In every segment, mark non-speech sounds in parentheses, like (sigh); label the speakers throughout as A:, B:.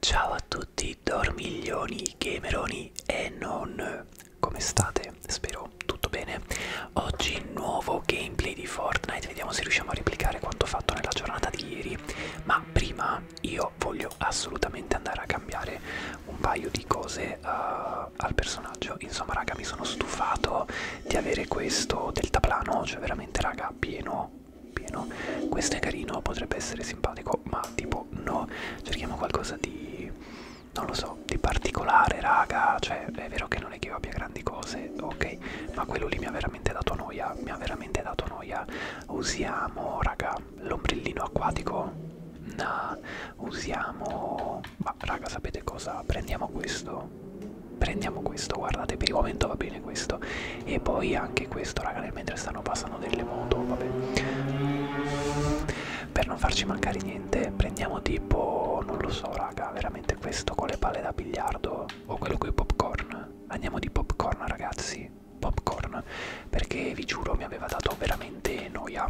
A: Ciao a tutti dormiglioni, gameroni e non come state? Spero tutto bene. Oggi nuovo gameplay di Fortnite, vediamo se riusciamo a replicare quanto fatto nella giornata di ieri, ma prima io voglio assolutamente andare a cambiare un paio di cose uh, al personaggio. Insomma raga mi sono stufato di avere questo deltaplano, cioè veramente veramente raga pieno pieno questo è carino potrebbe essere simpatico ma tipo no cerchiamo qualcosa di non lo so di particolare raga cioè è vero che non è che io abbia grandi cose ok ma quello lì mi ha veramente dato noia mi ha veramente dato noia usiamo raga l'ombrellino acquatico no nah. usiamo ma raga sapete cosa? Prendiamo questo. Prendiamo questo, guardate, per il momento va bene questo. E poi anche questo, raga, nel mentre stanno passando delle moto, vabbè. Per non farci mancare niente, prendiamo tipo, non lo so, raga, veramente questo con le palle da biliardo o quello con i popcorn. Andiamo di popcorn, ragazzi. Popcorn, perché vi giuro mi aveva dato veramente noia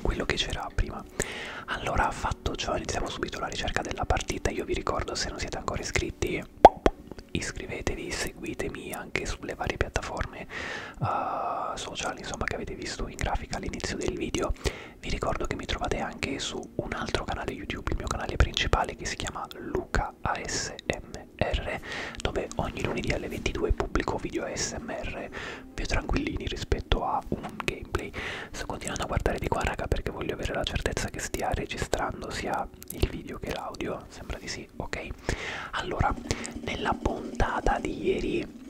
A: quello che c'era prima prima allora fatto ciò iniziamo subito la ricerca della partita io vi ricordo se non siete ancora iscritti iscrivetevi seguitemi anche sulle varie piattaforme uh, eh, sociali insomma che avete visto in grafica all'inizio del video vi ricordo che mi trovate anche su un altro canale youtube il mio canale principale che si chiama luca asmr dove ogni lunedì alle 22 pubblico video asmr più tranquillini rispetto a un gameplay sto continuando a guardare di qua raga perché voglio avere la certezza che stia registrando sia il video che l'audio sembra di sì ok allora nella puntata di ieri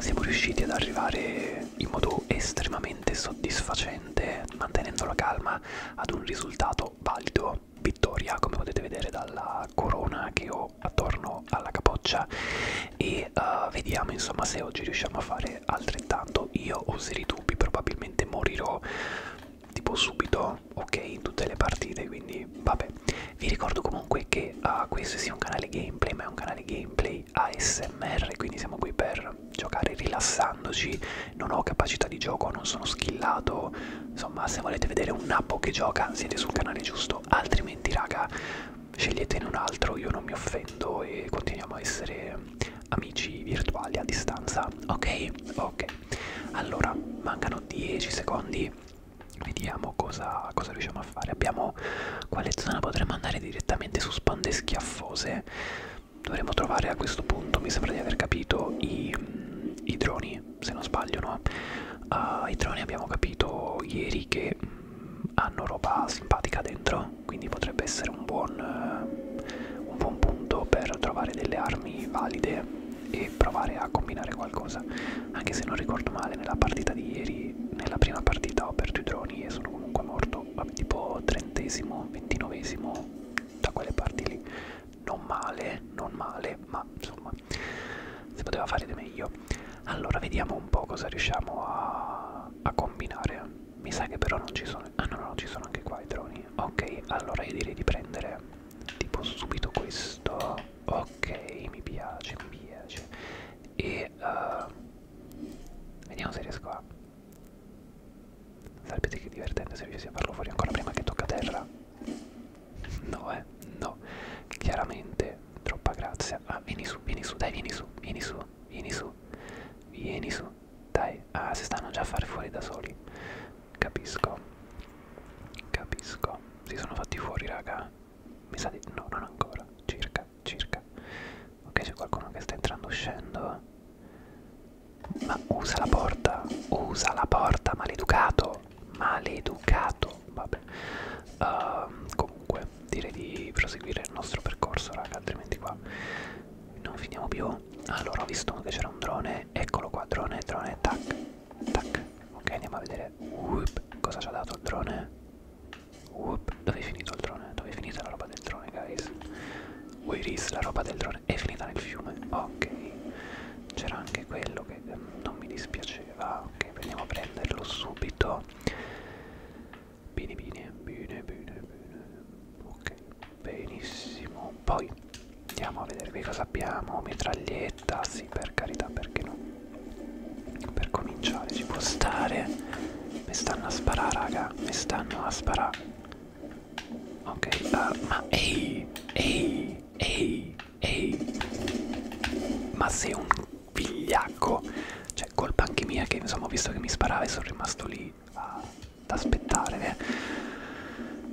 A: siamo riusciti ad arrivare in modo estremamente soddisfacente mantenendo la calma ad un risultato valido vittoria come potete vedere dalla corona che ho attorno alla capoccia e uh, vediamo insomma se oggi riusciamo a fare altrettanto io ho seri dubbi probabilmente morirò tipo subito ok in tutte le partite quindi vabbè vi ricordo comunque che uh, questo sia un canale gameplay ma è un canale gameplay ASMR quindi siamo qui per giocare rilassandoci non ho capacità di gioco non sono skillato insomma se volete vedere un nappo che gioca siete sul canale giusto altrimenti raga sceglietene un altro, io non mi offendo e continuiamo a essere amici virtuali a distanza, ok? Ok, allora mancano 10 secondi, vediamo cosa, cosa riusciamo a fare. Abbiamo quale zona potremmo andare direttamente su spande schiaffose? Dovremmo trovare a questo punto, mi sembra di aver capito, i, i droni, se non sbaglio, no? Uh, I droni abbiamo capito ieri che mm, hanno roba simpatica dentro quindi potrebbe essere un buon, uh, un buon punto per trovare delle armi valide e provare a combinare qualcosa anche se non ricordo male nella partita di ieri nella prima partita ho perso i droni e sono comunque morto vabbè, tipo trentesimo ventinovesimo da quelle parti lì non male non male ma insomma si poteva fare di meglio allora vediamo un po' cosa riusciamo a a combinare mi sa che però non ci sono ah no no ci sono anche qua i droni ok allora io direi di prendere tipo subito questo ok mi piace mi piace e uh, vediamo se riesco a sarebbe che divertente se riuscissi a farlo fuori ancora prima che tocca terra no eh no chiaramente troppa grazia. Ah, vieni su, vieni su, dai, vieni su, vieni su, vieni su, vieni su, dai. Ah, si stanno già a fare fuori da soli. Capisco, capisco. Si sono fatti fuori, raga. Mi sa di... no, non ancora. Circa, circa. Ok, c'è qualcuno che sta entrando, uscendo. Ma usa la porta, usa la porta, maleducato, maleducato però vabbè uh, comunque direi di proseguire il nostro percorso raga altrimenti qua non finiamo più allora ho visto che c'era un drone eccolo qua drone drone tac tac ok andiamo a vedere Uop, cosa ci ha dato il drone Uop, dove è finito il drone dove è finita la roba del drone guys where is la roba del drone è finita nel fiume ok c'era anche quello che ehm, non mi dispiaceva ok andiamo a prenderlo subito Bene, bene, bene, bene, bene. Ok, benissimo. Poi andiamo a vedere che cosa abbiamo. Mitraglietta, sì, per carità, perché no? Per cominciare ci può stare. Mi stanno a sparare, raga. Mi stanno a sparare. Ok, uh, ma ehi, ehi, ehi, ehi. Ma sei un vigliacco cioè colpa anche mia che insomma ho visto che mi sparava e sono rimasto lì ad aspettare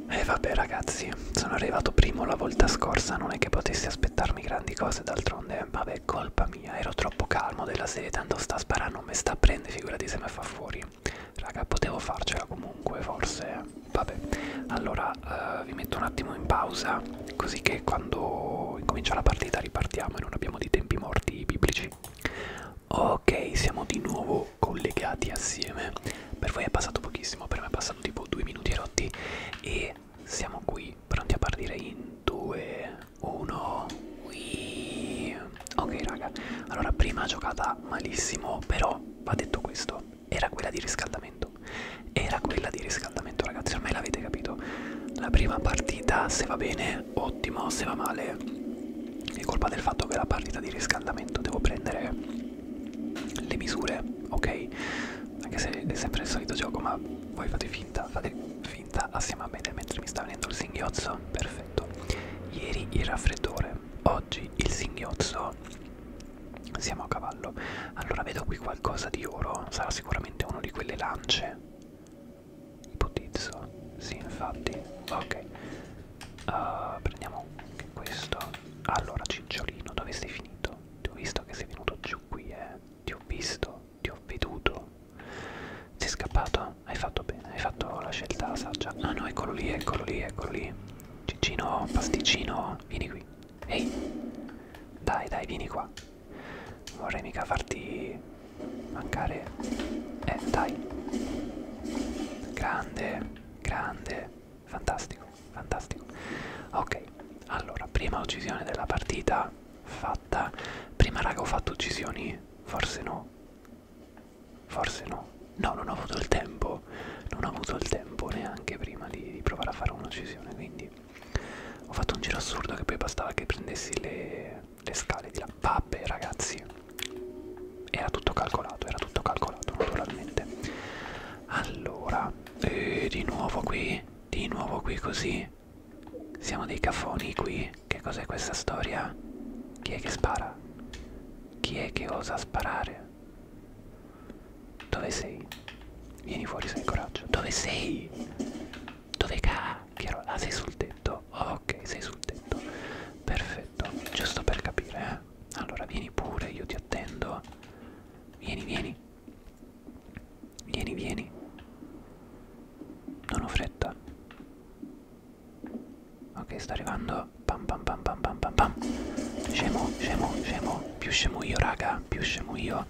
A: e eh, vabbè ragazzi sono arrivato primo la volta scorsa non è che potessi aspettarmi grandi cose d'altronde vabbè colpa mia ero troppo calmo della serie tanto sta sparando mi sta a prendere figurati se mi fa fuori raga potevo farcela comunque forse vabbè allora eh, eh, vi metto un attimo in pausa così che quando incomincia la partita ripartiamo e non abbiamo dei tempi morti biblici. Ok, siamo di nuovo collegati assieme. Per voi è passato pochissimo, per me è passato tipo due minuti rotti e siamo qui pronti a partire in 2, 1. Ok raga, allora prima giocata malissimo, però va detto questo, era quella di riscaldamento ricordo era quella di riscaldamento ragazzi ormai l'avete capito la prima partita se va bene ottimo se va male è colpa del fatto che la partita di riscaldamento devo prendere le misure ok anche se è sempre il solito gioco ma voi fate finta fate finta assieme a me mentre mi sta venendo il singhiozzo perfetto ieri il raffreddore oggi il singhiozzo siamo a cavallo. Allora vedo qui qualcosa di oro. Sarà sicuramente uno di quelle lance. Ipotizzo. Sì, infatti. Ok. Uh, prendiamo anche questo. Allora, cicciolino, dove sei finito? Ti ho visto che sei venuto giù qui, eh. Ti ho visto, ti ho veduto. Sei scappato? Hai fatto bene, hai fatto la scelta saggia. No, no, eccolo lì, eccolo lì, eccolo lì. Ciccino, pasticcino, vieni qui. Ehi, dai, dai, vieni qua. Vorrei mica farti mancare. Eh, dai. Grande, grande, fantastico, fantastico. Ok, allora, prima uccisione della partita fatta. Prima raga ho fatto uccisioni? Forse no. Forse no. No, non ho avuto il tempo. Non ho avuto il tempo neanche prima di, di provare a fare un'uccisione, quindi ho fatto un giro assurdo che poi bastava che prendessi le, le scale di là. Vabbè ragazzi, era tutto calcolato, era tutto calcolato naturalmente. Allora, eh, di nuovo qui, di nuovo qui così. Siamo dei cafoni qui. Che cos'è questa storia? Chi è che spara? Chi è che osa sparare? Dove sei? Vieni fuori se hai coraggio. Dove sei? Dove cacchio? Ah, sei sul tetto. Ok, sei sul tetto. Perfetto, giusto per capire, eh. Allora vieni pure, io ti attendo. Vieni, vieni. Vieni, vieni. Non ho fretta. Ok, sta arrivando. Pam pam pam pam pam pam pam. Scemo, scemo, scemo. Più scemo io, raga, più scemo io.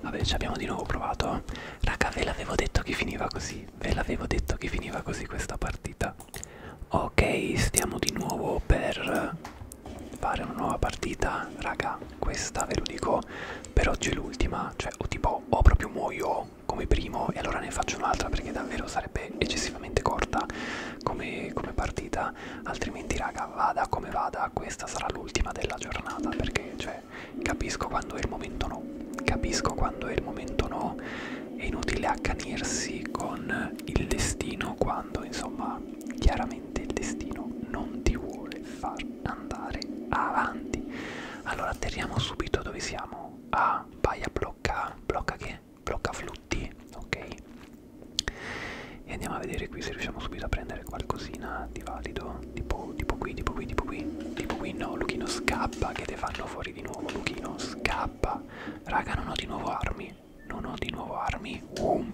A: Vabbè, ci abbiamo di nuovo provato. Raga, ve l'avevo detto che finiva così. Ve l'avevo detto che finiva così questa partita. Ok, stiamo di nuovo per fare una nuova partita. Raga, questa ve lo dico, per oggi è l'ultima. Cioè, o tipo, o proprio muoio come primo e allora ne faccio un'altra perché davvero sarebbe eccessivamente corta come, come partita prima altrimenti raga vada come vada questa sarà l'ultima della giornata perché cioè capisco quando è il momento no capisco quando è il momento no è inutile accanirsi con il destino quando insomma chiaramente il destino non ti vuole far andare avanti allora atterriamo subito dove siamo ah vai a blocca blocca che blocca flu tutti ok e andiamo a vedere qui se riusciamo subito a prendere qualcosina di valido tipo, tipo qui tipo qui tipo qui tipo qui no Luchino scappa che te fanno fuori di nuovo Luchino scappa raga non ho di nuovo armi non ho di nuovo armi wow.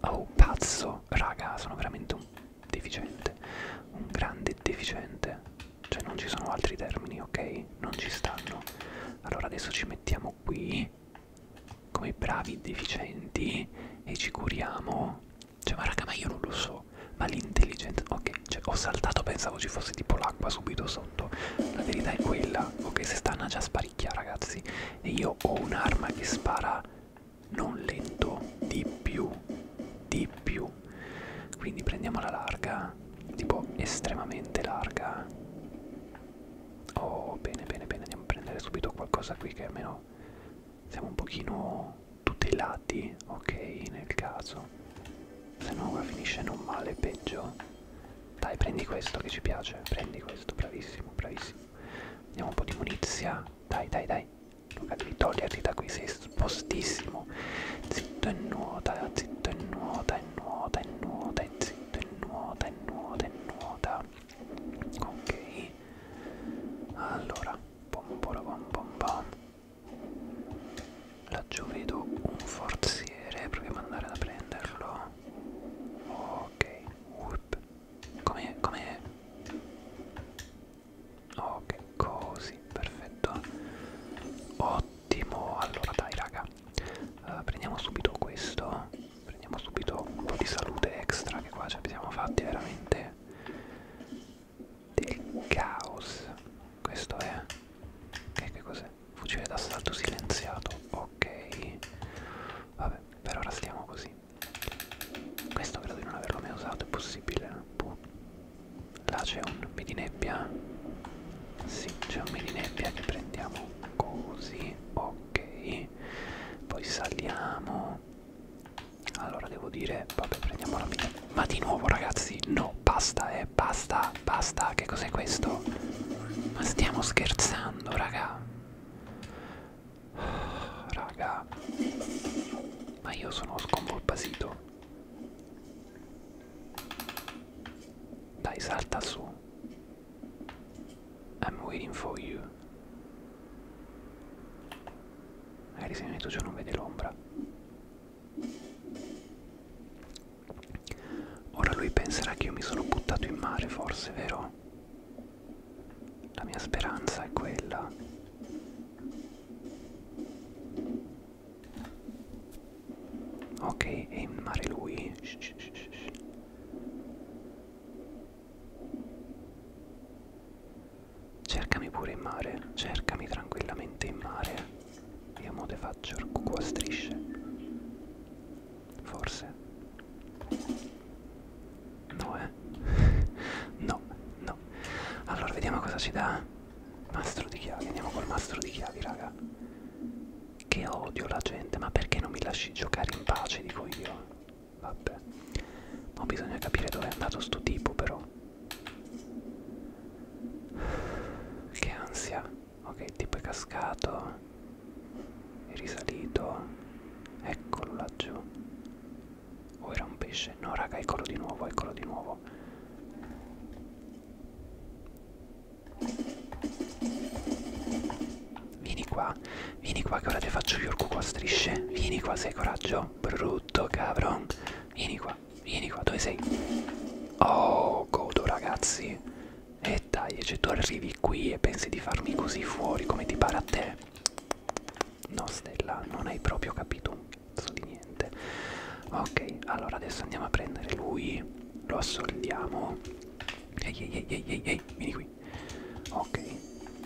A: oh pazzo raga sono veramente un deficiente un grande deficiente cioè non ci sono altri termini ok non ci stanno allora adesso ci mettiamo qui come bravi deficienti e ci curiamo. Cioè, ma raga, ma io non lo so. Ma l'intelligenza. Ok, cioè, ho saltato, pensavo ci fosse tipo l'acqua subito sotto. La verità è quella. Ok, se stanno già sparicchia, ragazzi. E io ho un'arma che spara non lento, di più, di più. Quindi prendiamo la larga, tipo estremamente larga. Oh, bene, bene, bene, andiamo a prendere subito qualcosa qui che almeno siamo un pochino tutelati, ok, nel caso. Se no ora finisce non male, peggio. Dai, prendi questo che ci piace, prendi questo, bravissimo, bravissimo. Andiamo un po' di munizia, dai, dai, dai. Luca, devi toglierti da qui, sei spostissimo. Zitto e nuota, zitto e nuota, e nuota e nuota e zitto e nuota e nuota e nuota ok allora pom pom pom pom laggiù vedo un forziere proviamo ad andare a prenderlo ok come come ok così perfetto ottimo allora dai raga uh, prendiamo subito questo prendiamo subito un po' di salute extra che qua ci abbiamo fatti veramente del caos questo è okay, che cos'è fucile d'assalto silenziato ok vabbè per ora stiamo così questo credo di non averlo mai usato è possibile Puh. Boh. là c'è un midi nebbia sì, c'è un mini nebbia che prendiamo così ok poi saliamo allora devo dire vabbè prendiamo la mia ma di nuovo ragazzi no basta eh basta basta che cos'è questo ma stiamo scherzando raga raga ma io sono sconvolbasito dai salta su I'm waiting for you. Magari se mi metto giù non vede l'ombra. Ora lui penserà che io mi sono buttato in mare, forse, vero? La mia speranza è quella. Ok, è in mare lui. Shh, shh, shh, shh. Cercami pure in mare, cercami tranquillamente in mare. Io mo te faccio il cucù a strisce. Forse. No, eh. (laughs) no, no. Allora, vediamo cosa ci dà. Mastro di chiavi, andiamo col mastro di chiavi, raga. Che odio la gente, ma perché non mi lasci giocare in pace, dico io. Vabbè. Ma bisogna capire dove è andato sto tipo però. Che ansia. Ok, il tipo è cascato. È risalito. Eccolo laggiù. O oh, era un pesce? No, raga, eccolo di nuovo, eccolo di nuovo. Vieni qua, vieni qua che ora ti faccio gli orcu a strisce. Vieni qua, sei coraggio. Brutto cabron. Vieni qua, vieni qua, dove sei? Oh, godo ragazzi. E dai, se cioè, tu arrivi qui e pensi di farmi così fuori come ti pare a te. No, Stella, non hai proprio capito un cazzo di niente. Ok, allora adesso andiamo a prendere lui lo assoldiamo ehi ehi ehi ehi ehi vieni qui ok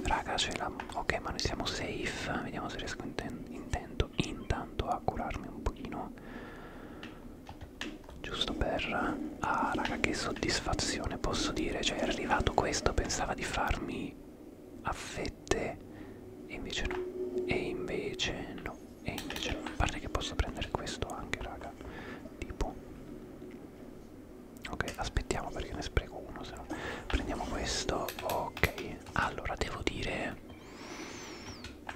A: raga ce la ok ma noi siamo safe vediamo se riesco inten intento intanto a curarmi un pochino giusto per ah raga che soddisfazione posso dire cioè è arrivato questo pensava di farmi a fette e invece no e invece no e invece mi pare che possa prendere questo anche raga tipo ok aspettiamo perché ne spreco uno se no prendiamo questo ok allora devo dire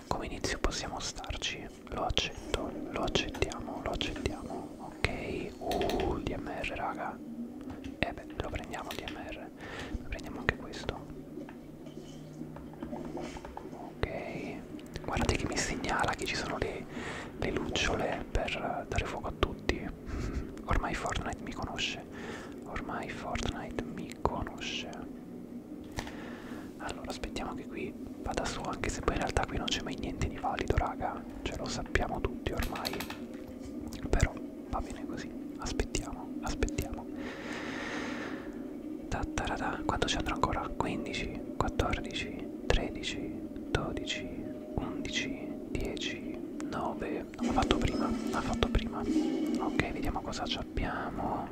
A: come inizio possiamo starci lo accetto lo accettiamo lo accettiamo ok uh dmr raga e eh beh lo prendiamo dmr prendiamo anche questo Ok, guardate che mi segnala che ci sono le, le lucciole per dare fuoco a tutti. (laughs) Ormai Fortnite mi conosce. Ormai Fortnite mi conosce. Allora, aspettiamo che qui vada su, anche se poi in realtà qui non c'è mai niente di valido, raga. Ce lo sappiamo tutti ormai. Però va bene così. Aspettiamo, aspettiamo. Tattarada. Quanto ci andrò ancora? 15, 14, 13, 12, 11, 10, 9. Non l'ho fatto prima, l'ha fatto prima. Ok, vediamo cosa abbiamo.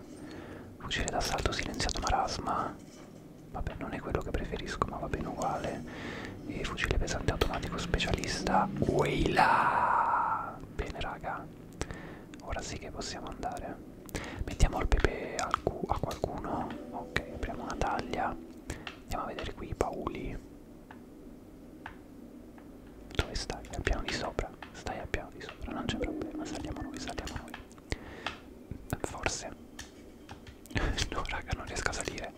A: Fucile d'assalto silenziato marasma. Vabbè, non è quello che preferisco, ma va bene uguale. E fucile pesante automatico specialista. Weila! Bene, raga. Ora sì che possiamo andare. Mettiamo il pepe a, a qualcuno. Ok, apriamo una taglia. Andiamo a vedere qui i pauli. Dove stai? Al piano di sopra. Stai al piano di sopra, non c'è problema. Saliamo noi, saliamo noi. Forse. (laughs) no, raga, non riesco a salire.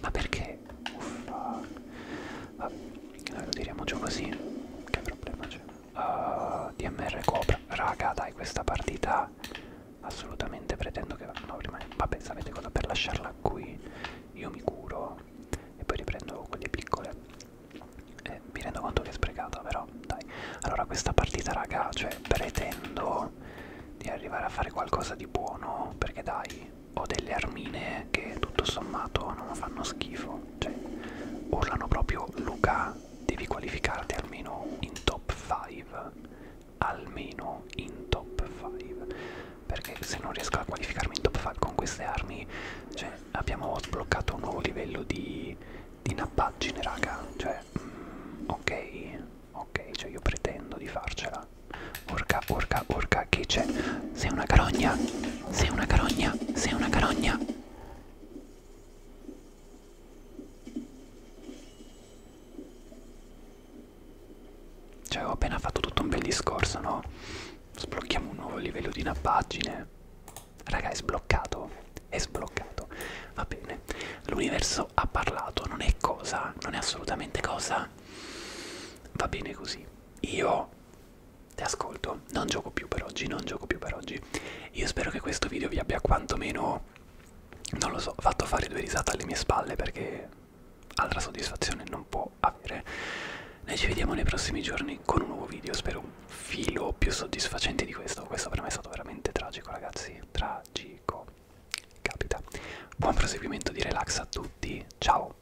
A: Ma perché? Uffa. Vabbè, noi lo tiriamo giù così. Che problema c'è? uh, ah, DMR Cobra raga dai questa partita assolutamente pretendo che no rimane vabbè sapete cosa per lasciarla qui io mi curo e poi riprendo quelle piccole eh, mi rendo conto che è sprecata però dai allora questa partita raga cioè pretendo di arrivare a fare qualcosa di buono perché dai ho delle armine che tutto sommato non fanno schifo cioè, urlano proprio Luca devi qualificarti almeno in top 5 almeno in top 5 perché se non riesco a qualificarmi in top 5 con queste armi cioè abbiamo sbloccato un nuovo livello di, di nappaggine raga cioè mm, ok ok cioè io pretendo di farcela orca orca orca che c'è sei una carogna sei una carogna, sei una carogna. Cioè, ho appena fatto tutto un bel discorso, no? Sblocchiamo un nuovo livello di una pagina. Raga, è sbloccato. È sbloccato. Va bene. L'universo ha parlato, non è cosa, non è assolutamente cosa. Va bene così. Io ti ascolto, non gioco più per oggi, non gioco più per oggi. Io spero che questo video vi abbia quantomeno, non lo so, fatto fare due risate alle mie spalle perché altra soddisfazione non può avere. Noi ci vediamo nei prossimi giorni con un nuovo video, spero un filo più soddisfacente di questo. Questo per me è stato veramente tragico ragazzi, tragico. Capita. Buon proseguimento di relax a tutti, ciao!